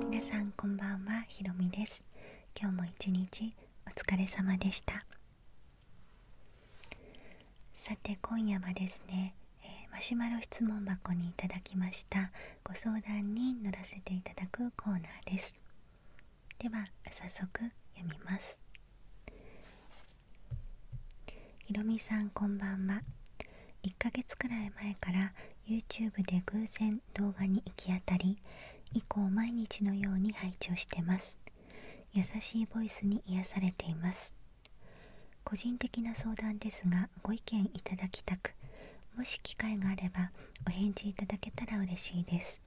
皆さんこんばんはひろみです今日も一日お疲れ様でしたさて今夜はですね、えマシュマロ質問箱にいただきましたご相談に乗らせていただくコーナーですでは早速読みますひろみさんこんばんは1ヶ月くらい前から YouTube で偶然動画に行き当たり以降毎日のように配置をしてます優しいボイスに癒されています個人的な相談ですがご意見いただきたくもし機会があればお返事いただけたら嬉しいです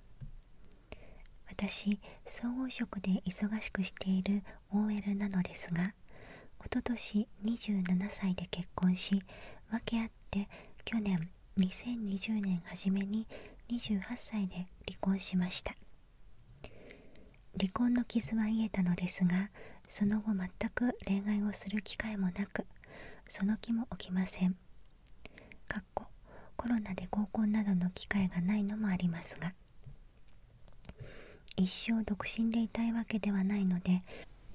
私総合職で忙しくしている OL なのですががおととし27歳で結婚し訳あって去年2020年初めに28歳で離婚しました離婚の傷は癒えたのですがその後全く恋愛をする機会もなくその気も起きませんかっこコロナで合コンなどの機会がないのもありますが一生独身でいたいわけではないので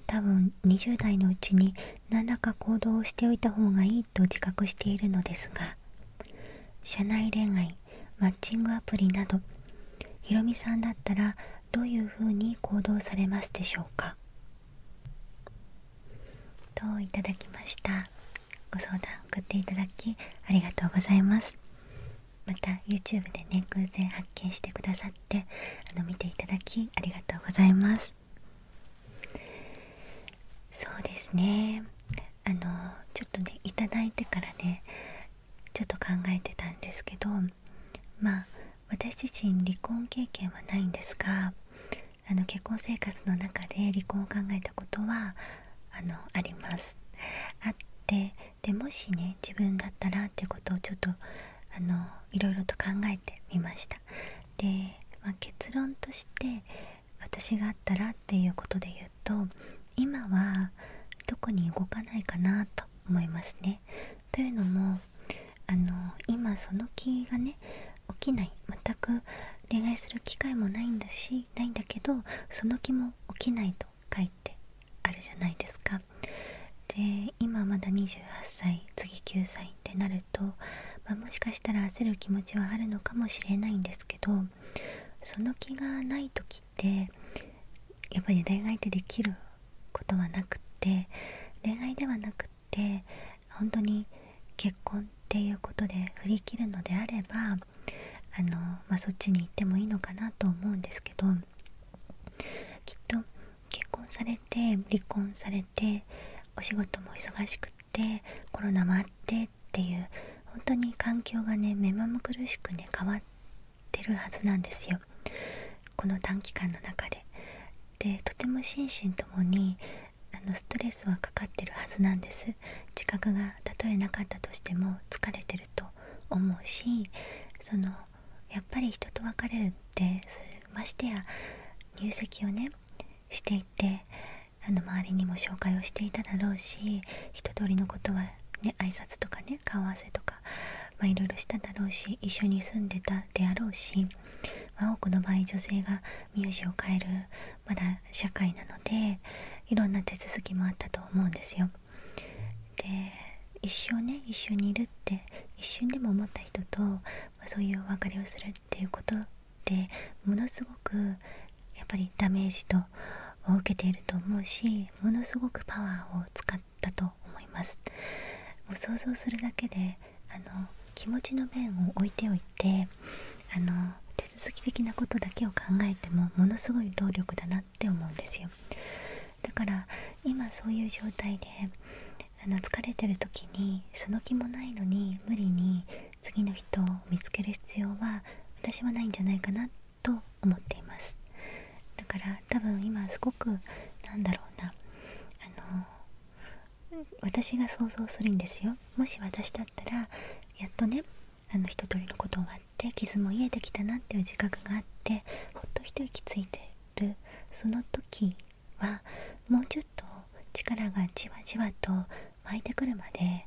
多分20代のうちに何らか行動をしておいた方がいいと自覚しているのですが社内恋愛マッチングアプリなどひろみさんだったらどういうふうに行動されますでしょうかといただきましたご相談送っていただきありがとうございますまた YouTube でね偶然発見してくださってあの見ていただきありがとうございますそうですねあのちょっとね頂いてからねちょっと考えてたんですけどまあ私自身離婚経験はないんですがあの結婚生活の中で離婚を考えたことはあのありますあってでもしね自分だったらってことをちょっとあのいろいろと考えてみましたで、ま結論として私があったらっていうことで言うと今はどこに動かないかなと思いますねというのもあの今その気がね起きない全く恋愛する機会もないんだしないんだけどその気も起きないと書いてあるじゃないですかで今まだ28歳次9歳ってなると、まもしかしたら焦る気持ちはあるのかもしれないんですけどその気がない時ってやっぱり恋愛ってできることはなくって恋愛ではなくって本当に結婚っていうことで振り切るのであればあの、まあ、そっちに行ってもいいのかなと思うんですけどきっと結婚されて離婚されてお仕事も忙しくってコロナもあってっていう本当に環境がね目まぐるしくね変わってるはずなんですよこの短期間の中で。でとても心身ともにあのストレスはかかってるはずなんです自覚がたえなかったとしても疲れと思うしそのやっぱり人と別れるってましてや入籍をねしていてあの周りにも紹介をしていただろうし一通りのことはね挨拶とかね顔合わせとかまあいろいろしただろうし一緒に住んでたであろうし、まあ、多くの場合女性が名字を変えるまだ社会なのでいろんな手続きもあったと思うんですよ。で一生ね一緒にいるって一瞬でも思った人と、まそういうお別れをするっていうことってものすごくやっぱりダメージとを受けていると思うしものすごくパワーを使ったと思います。もう想像するだけであの気持ちの面を置いておいてあの手続き的なことだけを考えてもものすごい労力だなって思うんですよだから今そういう状態であの疲れてる時にその気もないのに無理に次の人を見つける必要は私はないんじゃないかなと思っていますだから多分今すごくなんだろうなあの私が想像するんですよもし私だったらやっとねあの一通りのこと終わって傷も癒えてきたなっていう自覚があってほっと一息ついてるその時はもうちょっと力がじわじわと湧いてくるまで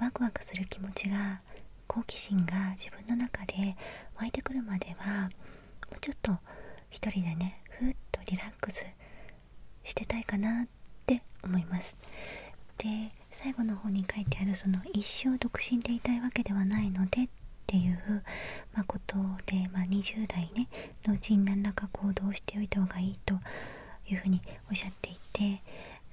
ワクワクする気持ちが好奇心が自分の中で湧いてくるまではもうちょっと一人でねふっとリラックスしてたいかなって思いますで最後の方に書いてあるその一生独身でいたいわけではないのでっていう、まことで、ま20代、ね、のうちに何らか行動しておいた方がいいというふうにおっしゃっていて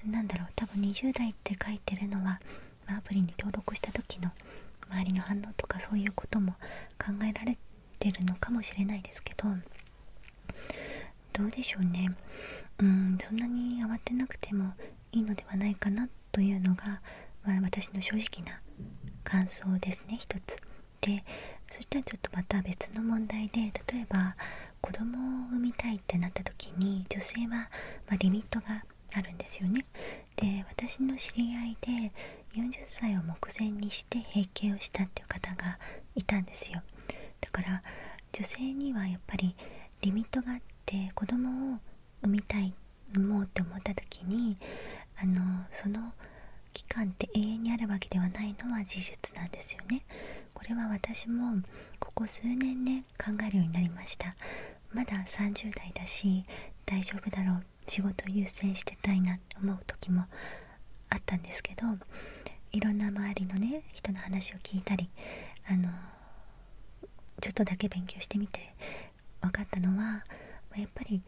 なんだろう多分20代って書いてるのは、まアプリに登録した時の周りの反応とかそういうことも考えられてるのかもしれないですけどどうでしょうねうんそんなに慌てなくてもいいのではないかなというのが、まあ、私の正直な感想ですね一つ。でそれとはちょっとまた別の問題で例えば子供を産みたいってなった時に女性は、まあ、リミットがあるんですよね。で私の知り合いで40歳を目前にして閉経をしたっていう方がいたんですよ。だから女性にはやっぱりリミットがあって子供を産みたい産もうって思った時にあのその期間って永遠にあるわけではないのは事実なんですよね。これは私もここ数年ね考えるようになりました。まだ30代だし大丈夫だろう仕事優先してたいなって思う時もあったんですけどいろんな周りのね人の話を聞いたりあのちょっとだけ勉強してみて分かったのはやっぱり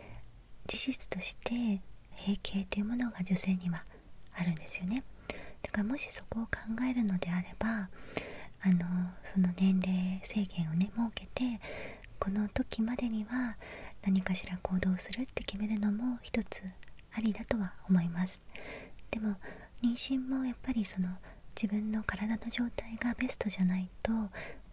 事実として閉経というものが女性にはあるんですよね。だからもしそこを考えるのであればあのその年齢制限をね設けてこの時までには何かしら行動するって決めるのも一つありだとは思います。でも妊娠もやっぱりその自分の体の状態がベストじゃないと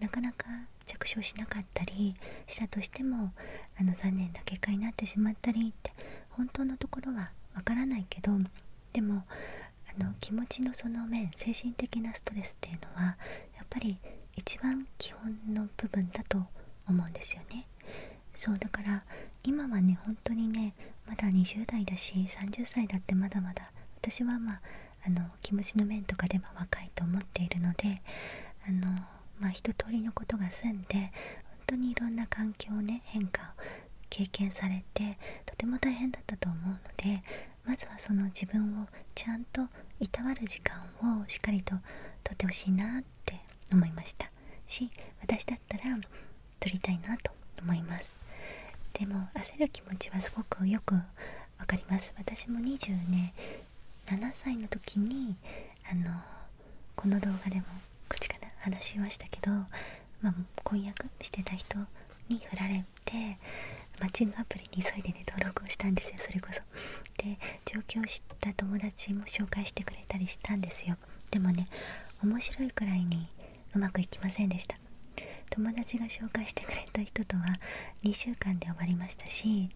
なかなか着床しなかったりしたとしてもあの残念な結果になってしまったりって本当のところはわからないけどでもあの気持ちのその面精神的なストレスっていうのはやっぱり一番基本の部分だと思うんですよね。そうだから今はね本当にねまだ20代だし30歳だってまだまだ私はまああの気持ちの面とかでは若いと思っているのであのま一通りのことが済んで本当にいろんな環境をね変化を経験されてとても大変だったと思うのでまずはその自分をちゃんといたわる時間をしっかりととってほしいなって思いました。し私だったら撮りたいなと思いますでも焦る気持ちはすごくよくわかります私も2 0年、7歳の時にあのこの動画でも口から話しましたけど、まあ、婚約してた人に振られてマッチングアプリに急いでね登録をしたんですよそれこそで上京した友達も紹介してくれたりしたんですよでもね面白いくらいにうまくいきませんでした友達が紹介してくれた人とは2週間で終わりましたし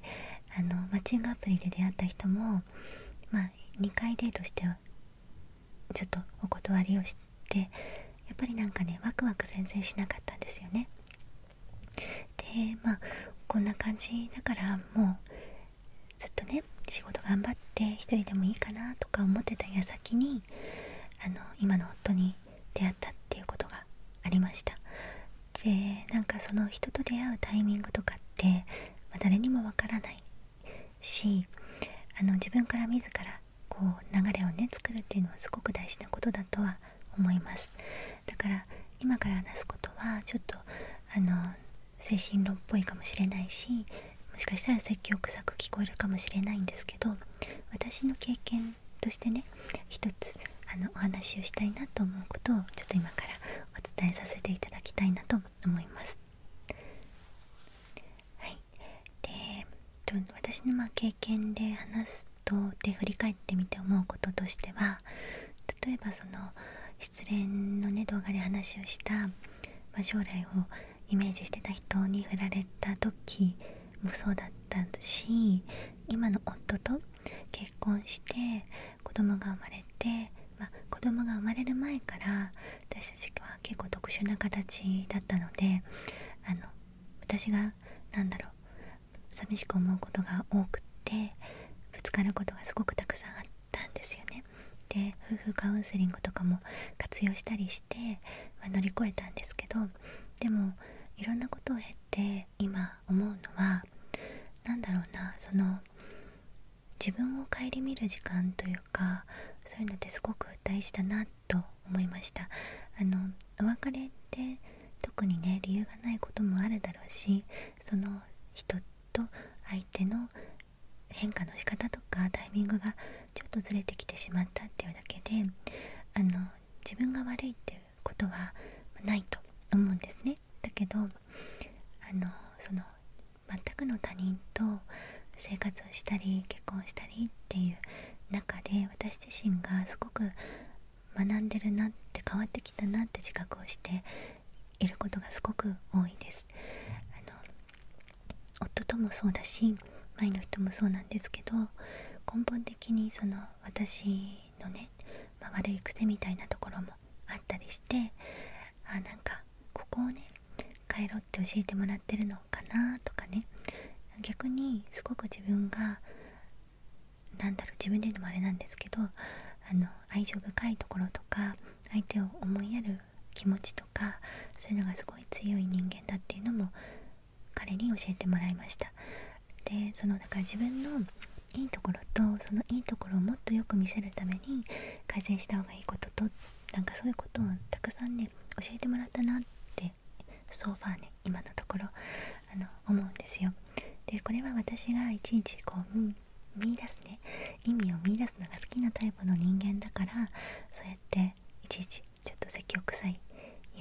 あのマッチングアプリで出会った人もま2回デートしてちょっとお断りをしてやっぱりなんかねワクワク全然しなかったんですよねでまあこんな感じだからもうずっとね仕事頑張って1人でもいいかなとか思ってた矢先にあの今の夫に出会ったっていうことがありましたでなんかその人と出会うタイミングとかって、ま誰にもわからないしあの自分から自らこう流れをね作るっていうのはすごく大事なことだとは思いますだから今から話すことはちょっとあの精神論っぽいかもしれないしもしかしたら説教臭く聞こえるかもしれないんですけど私の経験としてね一つあのお話をしたいなと思うことをちょっと今からお伝えさせていただきたいなと思います。はい、で私のま経験で話すとで振り返ってみて思うこととしては例えばその失恋のね動画で話をしたま将来をイメージしてた人に振られた時もそうだったし今の夫と結婚して子供が生まれて、まあ、子供が生まれる前から私たちは結構特殊な形だったのであの私が何だろう寂しく思うことが多くてぶつかることがすごくたくさんあったんですよね。で夫婦カウンセリングとかも活用したりして、ま乗り越えたんですけどでもいろんなことを経て今思うのは何だろうなその自分を顧みる時間というかそういうのってすごく大事だなと思いましたあのお別れって特にね理由がないこともあるだろうしその人と相手の変化の仕方とかタイミングがちょっとずれてきてしまったっていうだけであの自分が悪いっていうことはないと思うんですね。だけどあのその全くの他人と生活をしたり結婚したりっていう中で私自身がすごく学んでるなって変わってきたなって自覚をしていることがすごく多いですあの夫ともそうだし前の人もそうなんですけど根本的にその私のね、ま悪い癖みたいなところもあったりしてあなんかここをね帰ろうって教えてもらってるのかなとかね逆にすごく自分が何だろう自分で言うのもあれなんですけどあの愛情深いところとか相手を思いやる気持ちとかそういうのがすごい強い人間だっていうのも彼に教えてもらいましたでそのだから自分のいいところとそのいいところをもっとよく見せるために改善した方がいいこととなんかそういうことをたくさんね教えてもらったなってソファーね今のところあの思うんですよでこれは私がいちいちこう、見出すね意味を見いだすのが好きなタイプの人間だからそうやっていちいちちょっと積極臭いよ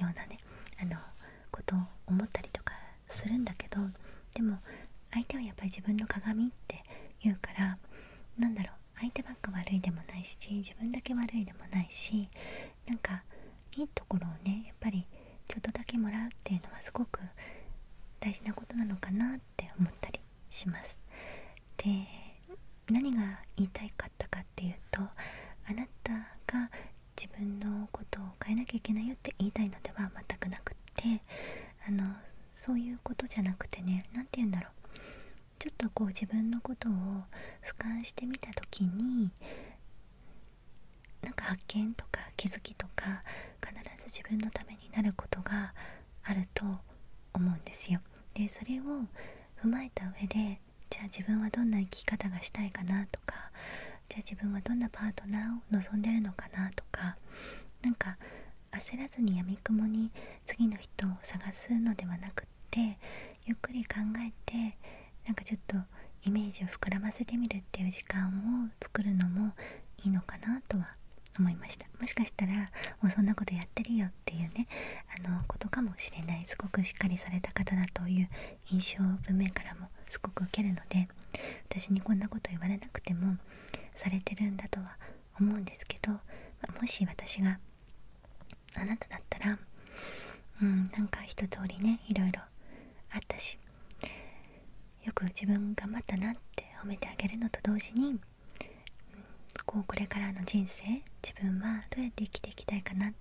うなねあのことを思ったりとかするんだけどでも相手はやっぱり自分の鏡って言うからなんだろう相手ばっか悪いでもないし自分だけ悪いでもないしなんかいいところをねやっぱりちょっとだけもらうっていうのはすごく大事なことなのかなって思ったりしますで何が言いたいかったかっていうとあなたが自分のことを変えなきゃいけないよって言いたいのでは全くなくってあのそういうことじゃなくてね何て言うんだろうちょっとこう自分のことを俯瞰してみた時になんか発見とか気づきとか必ず自分のためになることがあると思うんですよ。でそれを踏まえた上でじゃあ自分はどんな生き方がしたいかなとかじゃあ自分はどんなパートナーを望んでるのかなとかなんか焦らずにやみくもに次の人を探すのではなくってゆっくり考えてなんかちょっとイメージを膨らませてみるっていう時間を作るのもいいのかなとは思いましたもしかしたらもうそんなことやってるよっていうねあのことかもしれないすごくしっかりされた方だという印象を文面からもすごく受けるので私にこんなこと言われなくてもされてるんだとは思うんですけど、もし私があなただったらうんなんか一通りねいろいろあったしよく自分頑張ったなって褒めてあげるのと同時にこうこれからの人生自分はどうやって生きていきたいかな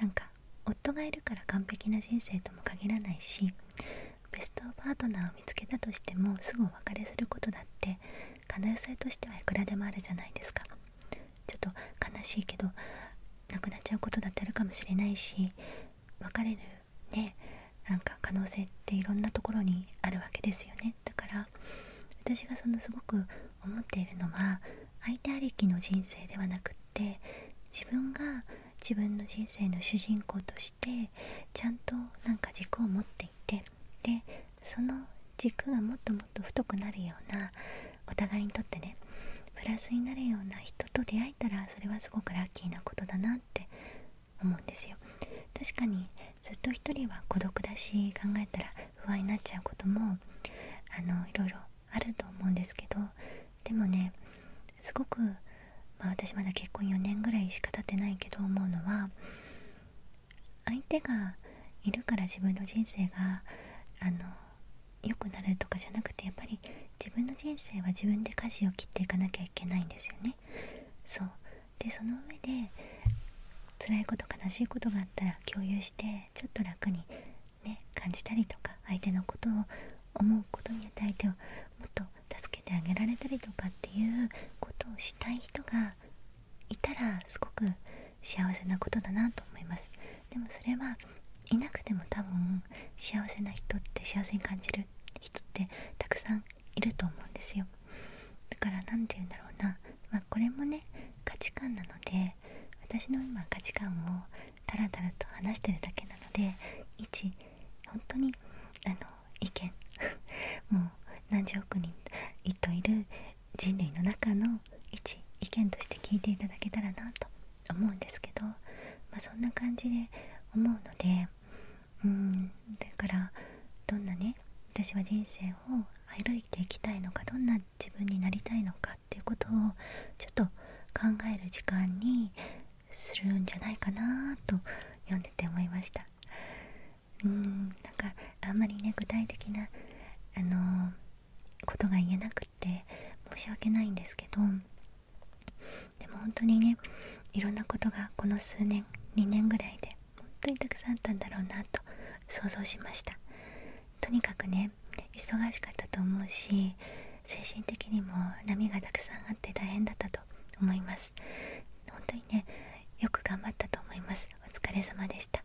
なんか夫がいるから完璧な人生とも限らないしベストパートナーを見つけたとしてもすぐお別れすることだって可能性としてはいくらでもあるじゃないですかちょっと悲しいけど亡くなっちゃうことだってあるかもしれないし別れるねなんか可能性っていろんなところにあるわけですよねだから私がそのすごく思っているのは相手ありきの人生ではなくって自分が自分の人生の主人公としてちゃんとなんか軸を持っていてでその軸がもっともっと太くなるようなお互いにとってねプラスになるような人と出会えたらそれはすごくラッキーなことだなって思うんですよ確かにずっと一人は孤独だし考えたら不安になっちゃうこともあのいろいろあると思うんですけどでもねすごく、ま私まだ結婚4年ぐらいしか経ってないけど思うのは相手がいるから自分の人生があの良くなるとかじゃなくてやっぱり自分の人生は自分で舵を切っていかなきゃいけないんですよね。そうでその上で辛いこと悲しいことがあったら共有してちょっと楽にね感じたりとか相手のことを思うことによって相手をもっと助けてあげられたりとかっていうことをしたい人がいたらすごく幸せなことだなと思いますでもそれはいなくても多分幸せな人って幸せに感じる人ってたくさんいると思うんですよだから何て言うんだろうな、まこれもね価値観なので私の今価値観をタラタラと話してるだけなので一本当にあの意見 もう何十億人いといる人類の中の一意見として聞いていただけたらなと思うんですけど、まあ、そんな感じで思うのでうんだからどんなね私は人生を歩いていきたいのかどんな自分になりたいのかっていうことをちょっと考える時間にするんじゃないかなと読んでて思いましたうんなんかあんまりね具体的なあのことが言えなくって申し訳ないんですけどでも本当にねいろんなことがこの数年2年ぐらいで本当にたくさんあったんだろうなと想像しましたとにかくね忙しかったと思うし精神的にも波がたくさんあって大変だったと思います本当にねよく頑張ったと思いますお疲れ様でした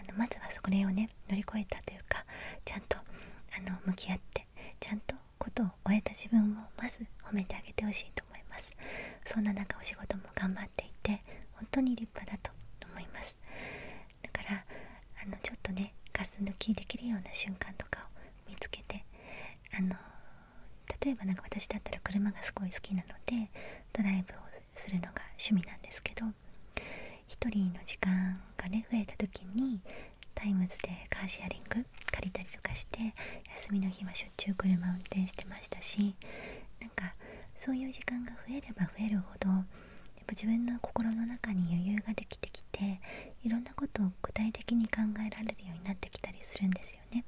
あのまずはそれをね乗り越えたというかちゃんとあの向き合ってちゃんとことを終えた自分をまず褒めてあげてほしいと思いますそんな中お仕事も頑張っていて本当に立派だと思いますだからあのちょっとねガス抜きできるような瞬間とかを見つけてあの例えばなか私だったら車がすごい好きなのでドライブをするのが趣味なんですけど1人の時間がね増えた時にタイムズでカーシェアリング借りたりとかして休みの日はしょっちゅう車運転してましたしなんかそういう時間が増えれば増えるほどやっぱ自分の心の中に余裕ができてきていろんなことを具体的に考えられるようになってきたりするんですよね。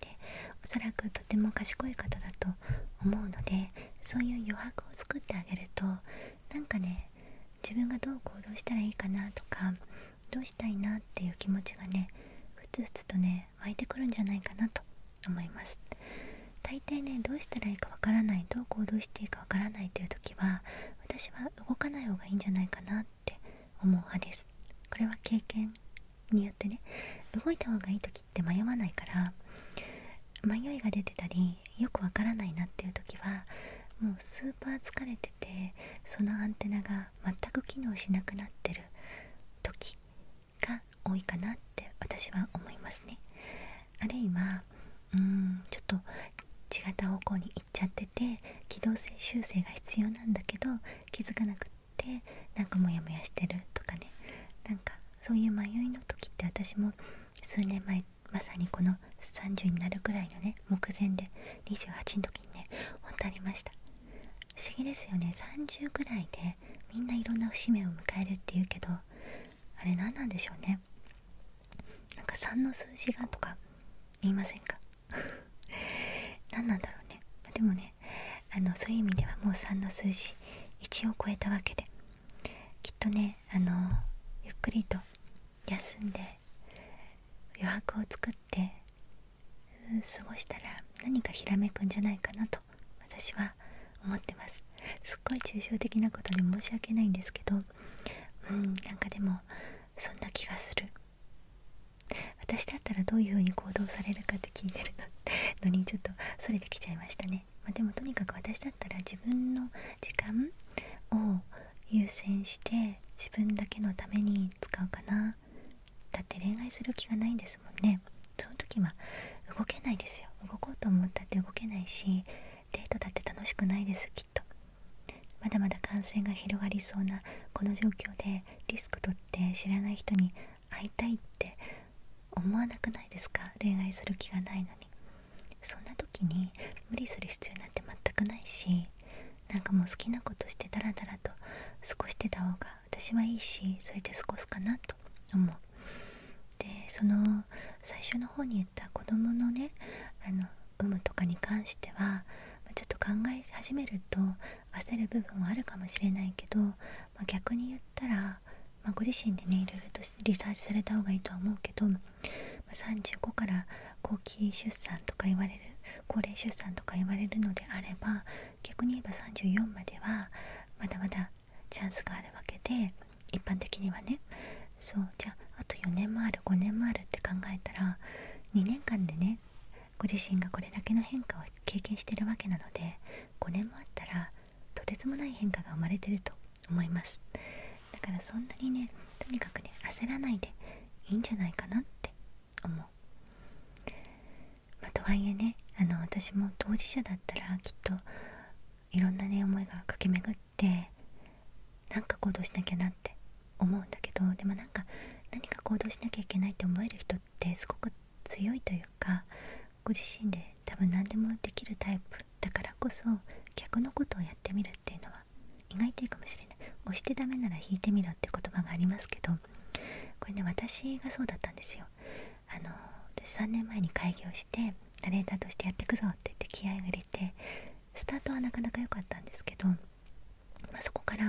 でおそらくとても賢い方だと思うのでそういう余白を作ってあげるとなんかね自分がどう行動したらいいかなとかどうしたいなっていう気持ちがねふつふつとね湧いてくるんじゃないかなと思います大抵ねどうしたらいいかわからないどう行動していいかわからないという時は私は動かない方がいいんじゃないかなって思う派ですこれは経験によってね動いた方がいい時って迷わないから迷いが出てたりよくわからないなっていう時はもうスーパー疲れててそのアンテナがが全く機能しなくなってる時が多いかなって私は思いますね。あるいはうんちょっと違った方向に行っちゃってて機動性修正が必要なんだけど気づかなくってなんかモヤモヤしてるとかねなんかそういう迷いの時って私も数年前まさにこの30になるくらいのね目前で28の時にね本当ありました不思議ですよね30ぐらいでみんないろんな節目を迎えるっていうけどあれ何なんでしょうねなんか3の数字がとか言いませんか 何なんだろうねでもねあのそういう意味ではもう3の数字1を超えたわけできっとねあのゆっくりと休んで余白を作って過ごしたら何かひらめくんじゃないかなと私は思ってますすっごい抽象的なことで申し訳ないんですけどうんなんかでもそんな気がする私だったらどういうふうに行動されるかって聞いてるの にちょっとそれてきちゃいましたね、までもとにかく私だったら自分の時間を優先して自分だけのために使うかなだって恋愛する気がないんですもんねその時は動けないですよ動こうと思ったって動けないしデートだって楽しくないですきっとまだまだ感染が広がりそうなこの状況でリスク取って知らない人に会いたいって思わなくないですか恋愛する気がないのにそんな時に無理する必要なんて全くないしなんかもう好きなことしてダラダラと過ごしてた方が私はいいしそれで過ごすかなと思うでその最初の方に言った子供のねあの有無とかに関してはちょっと考え始めると焦る部分はあるかもしれないけど、ま逆に言ったら、まご自身でねいろいろとリサーチされた方がいいとは思うけど、35から後期出産とか言われる高齢出産とか言われるのであれば逆に言えば34まではまだまだチャンスがあるわけで一般的にはねそうじゃああと4年もある5年もあるって考えたら2年間でねご自身がこれだけの変化を経験してるわけなので5年もあったらとてつもない変化が生まれてると思いますだからそんなにねとにかくね焦らないでいいんじゃないかなって思う、まとはいえねあの私も当事者だったらきっといろんなね思いが駆け巡ってなんか行動しなきゃなって思うんだけどでもなんか何か行動しなきゃいけないって思える人ってすごく強いというかご自身で多分何でもできるタイプだからこそ逆のことをやってみるっていうのは意外といいかもしれない押してダメなら引いてみろって言葉がありますけどこれね私がそうだったんですよあの私3年前に開業してナレーターとしてやってくぞって言って気合を入れてスタートはなかなか良かったんですけど、まそこから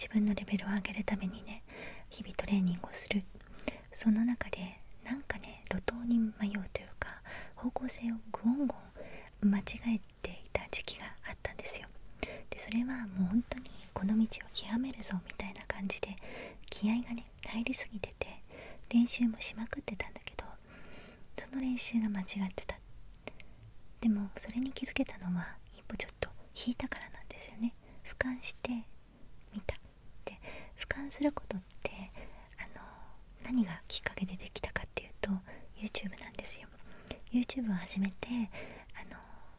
自分のレベルを上げるためにね日々トレーニングをするその中でなんかね路頭に迷うというか方向性をグオンゴン間違えていた時期があったんですよでそれはもう本当にこの道を極めるぞみたいな感じで気合がね入りすぎてて練習もしまくってたんだけどその練習が間違ってたでもそれに気づけたのは一歩ちょっと引いたからなんですよね俯瞰してみたで俯瞰することってあの何がきっかけでできたかっていうと YouTube なんですよ YouTube を始めてあの、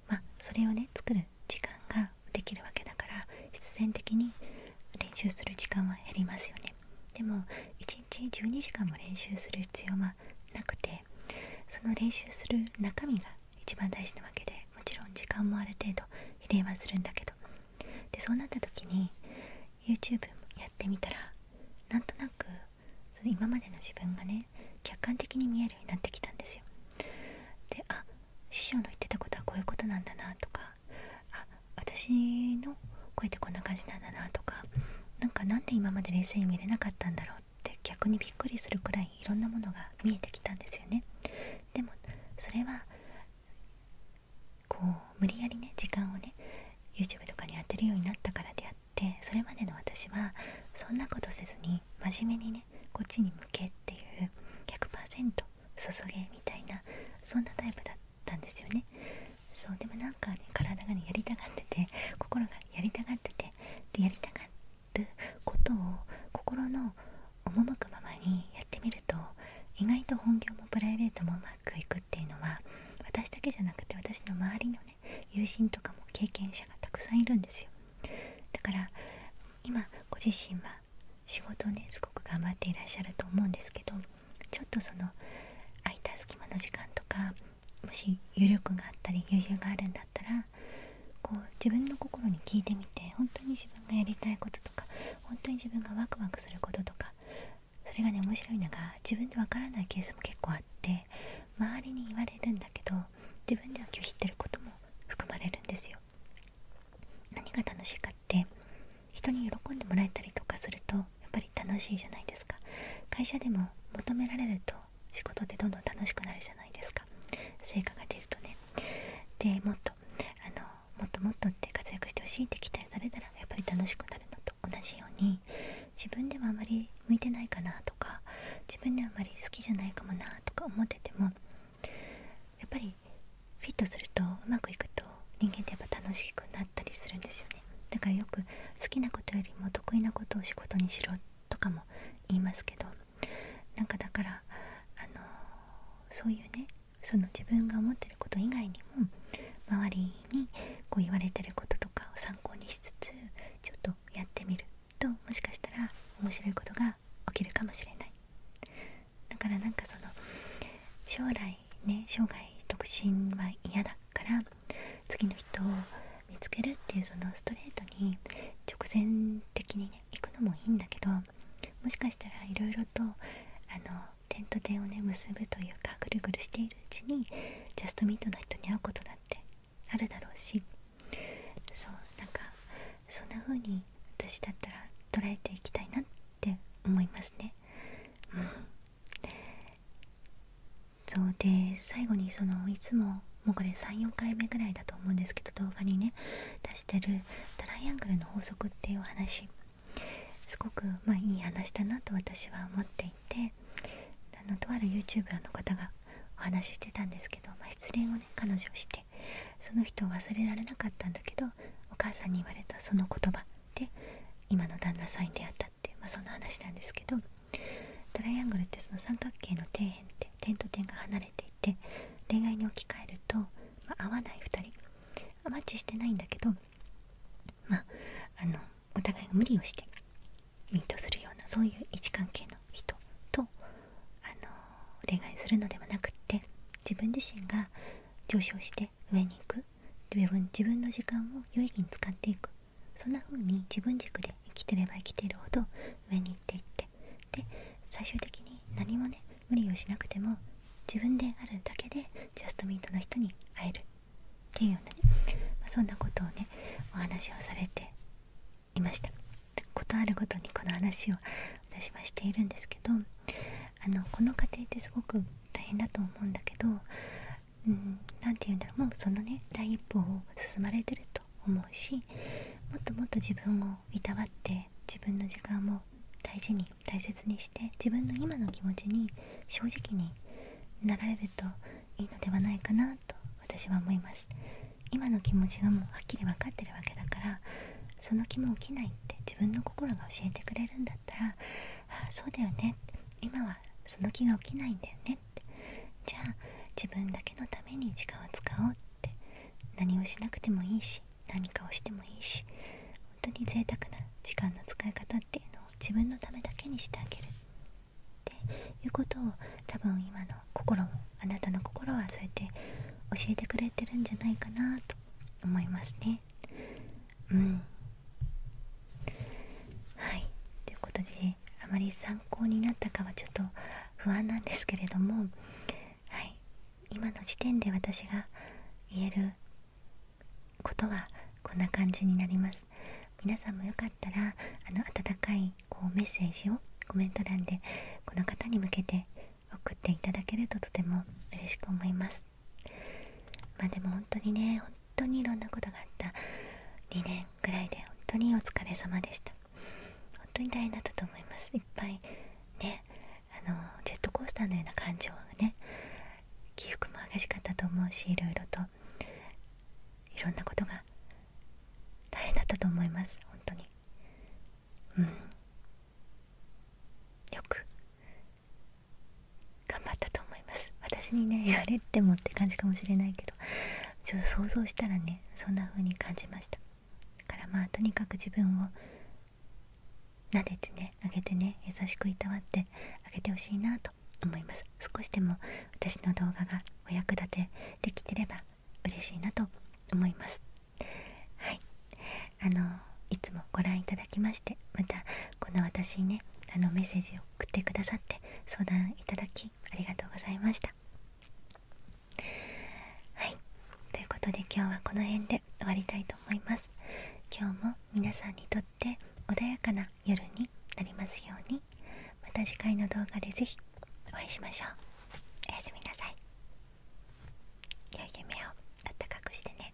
まそれをね作る時間ができるわけだから必然的に練習する時間は減りますよねでも1日12時間も練習する必要はなくてその練習する中身が一番大事なわけでもちろん時間もある程度比例はするんだけどでそうなった時に YouTube やってみたらなんとなくその今までの自分がね客観的に見えるようになってきたんですよであ師匠の言ってたことはこういうことなんだなとかあ私の声ってこんな感じなんだなとかなんかなんで今まで冷静に見れなかったんだろうって逆にびっくりするくらいいろんなものが見えてきたんですよねでもそれはこう無理やりね時間をね YouTube とかに当てるようになったからであってそれまでの私はそんなことせずに真面目にねこっちに向けっていう100%注げみたいなそんなタイプだったんですよね。そうでもなんかね体がねやりたがってて心がやりたがっててでやりたがることを心の赴くままにやってみると意外と本業もプライベートもうまくいくっていうのは私だけじゃなくて私の周りのね友人とかも経験者がたくさんいるんですよだから今ご自身は仕事をねすごく頑張っていらっしゃると思うんですけどちょっとその空いた隙間の時間とかもし余力があったり余裕があるんだったらこう自分の心に聞いてみて本当に自分がやりたいこととか本当に自分がワクワクすることとかそれがね面白いのが自分でわからないケースも結構あって周りに言われるんだけど自分では拒否ってることも含まれるんですよ何が楽しいかって人に喜んでもらえたりとかするとやっぱり楽しいじゃないですか会社でも求められると仕事ってどんどん楽しくなるじゃないですか成果が出るとねでもっとあのもっともっとって活躍してほしいって期待されたらやっぱり楽しくなるのと同じように自分ではあまり向いてないかなとか自分ではあまり好きじゃないかもなとか思っててもやっぱりフィットするとうまくいくと人間ってやっぱ楽しくなったりするんですよねだからよく好きなことよりも得意なことを仕事にしろとかも言いますけどなんかだからあのそういうねその自分が思ってること以外にも周りにこう言われてることとかを参考にしつつちょっとやってみるともしかしたら面白いことが起きるかもしれないだからなんかその将来ね生涯独身は嫌だから次の人を見つけるっていうそのストレートに直線的に行くのもいいんだけどもしかしたらいろいろとあの点と点をね結ぶというかぐるぐるしているうちにジャストミートナ人に会うことだってあるだろうしそうなんかそんな風に私だったら捉えていきたいなって思いますね。うん、そうで最後にそのいつももうこれ34回目ぐらいだと思うんですけど動画にね出してるトライアングルの法則っていうお話すごく、まいい話だなと私は思っていてあのとある YouTuber の方がお話ししてたんですけど、まあ、失恋をね彼女してその人を忘れられなかったんだけどお母さんに言われたその言葉で今の旦那さんに出会ったってまそんな話なんですけどトライアングルってその三角形の底辺って点と点が離れていて恋愛に置き換えると、ま合わない2人マッチしてないんだけどまああのお互いが無理をしてミートするようなそういう位置関係の人と、あのー、恋愛するのではなくって自分自身が上昇して上に行く自分の時間を有意義に使っていくそんな風に自分軸で生きてれば生きているほど上に行っていってで最終的に何もね無理をしなくても自分であるだけでジャストミートな人に会えるっていうようなね、まあ、そんなことをねお話をされていましたことあるごとにこの話を私はしているんですけどあのこの過程ってすごく大変だと思うんだけどうん何て言うんだろうもうそのね第一歩を進まれてると思うしもっともっと自分をいたわって自分の時間も大事に大切にして自分の今の気持ちに正直になられるといいのではないかなと私は思います今の気持ちがもうはっきり分かってるわけだからその気も起きないって自分の心が教えてくれるんだったらああそうだよね今はその気が起きないんだよねってじゃあ自分だけのために時間を使おうって何をしなくてもいいし何かをしてもいいし本当に贅沢な時間の使い方っていうのを自分のためだけにしてあげるっていうことを多分今の心もあなたの心はそうやって教えてくれてるんじゃないかなと思いますねうんはいということであまり参考になったかはちょっと不安なんですけれどもはい今の時点で私が言えることはこんな感じになります皆さんもよかったらあの温かいこうメッセージをコメント欄でこの方に向けて送っていただけるととても嬉しく思いますまあでも本当にね本当にいろんなことがあった2年ぐらいで本当にお疲れ様でした本当に大変だったと思いますいっぱいねあのジェットコースターのような感情がね起伏も激しかったと思うしいろといろんなことが大変だったと思います本当にうんよく頑張ったと思います私にねや れってもって感じかもしれないけどちょっと想像したらねそんな風に感じましたからまあとにかく自分を撫でてねあげてね優しくいたわってあげてほしいなと思います少しでも私の動画がお役立てできてれば嬉しいなと思いますはいあのいつもご覧いただきましてまたこの私にねあのメッセージを送ってくださって相談いただきありがとうございましたはいということで今日はこの辺で終わりたいと思います今日も皆さんにとっ穏やかな夜になりますようにまた次回の動画で是非お会いしましょうおやすみなさい良い夢をあったかくしてね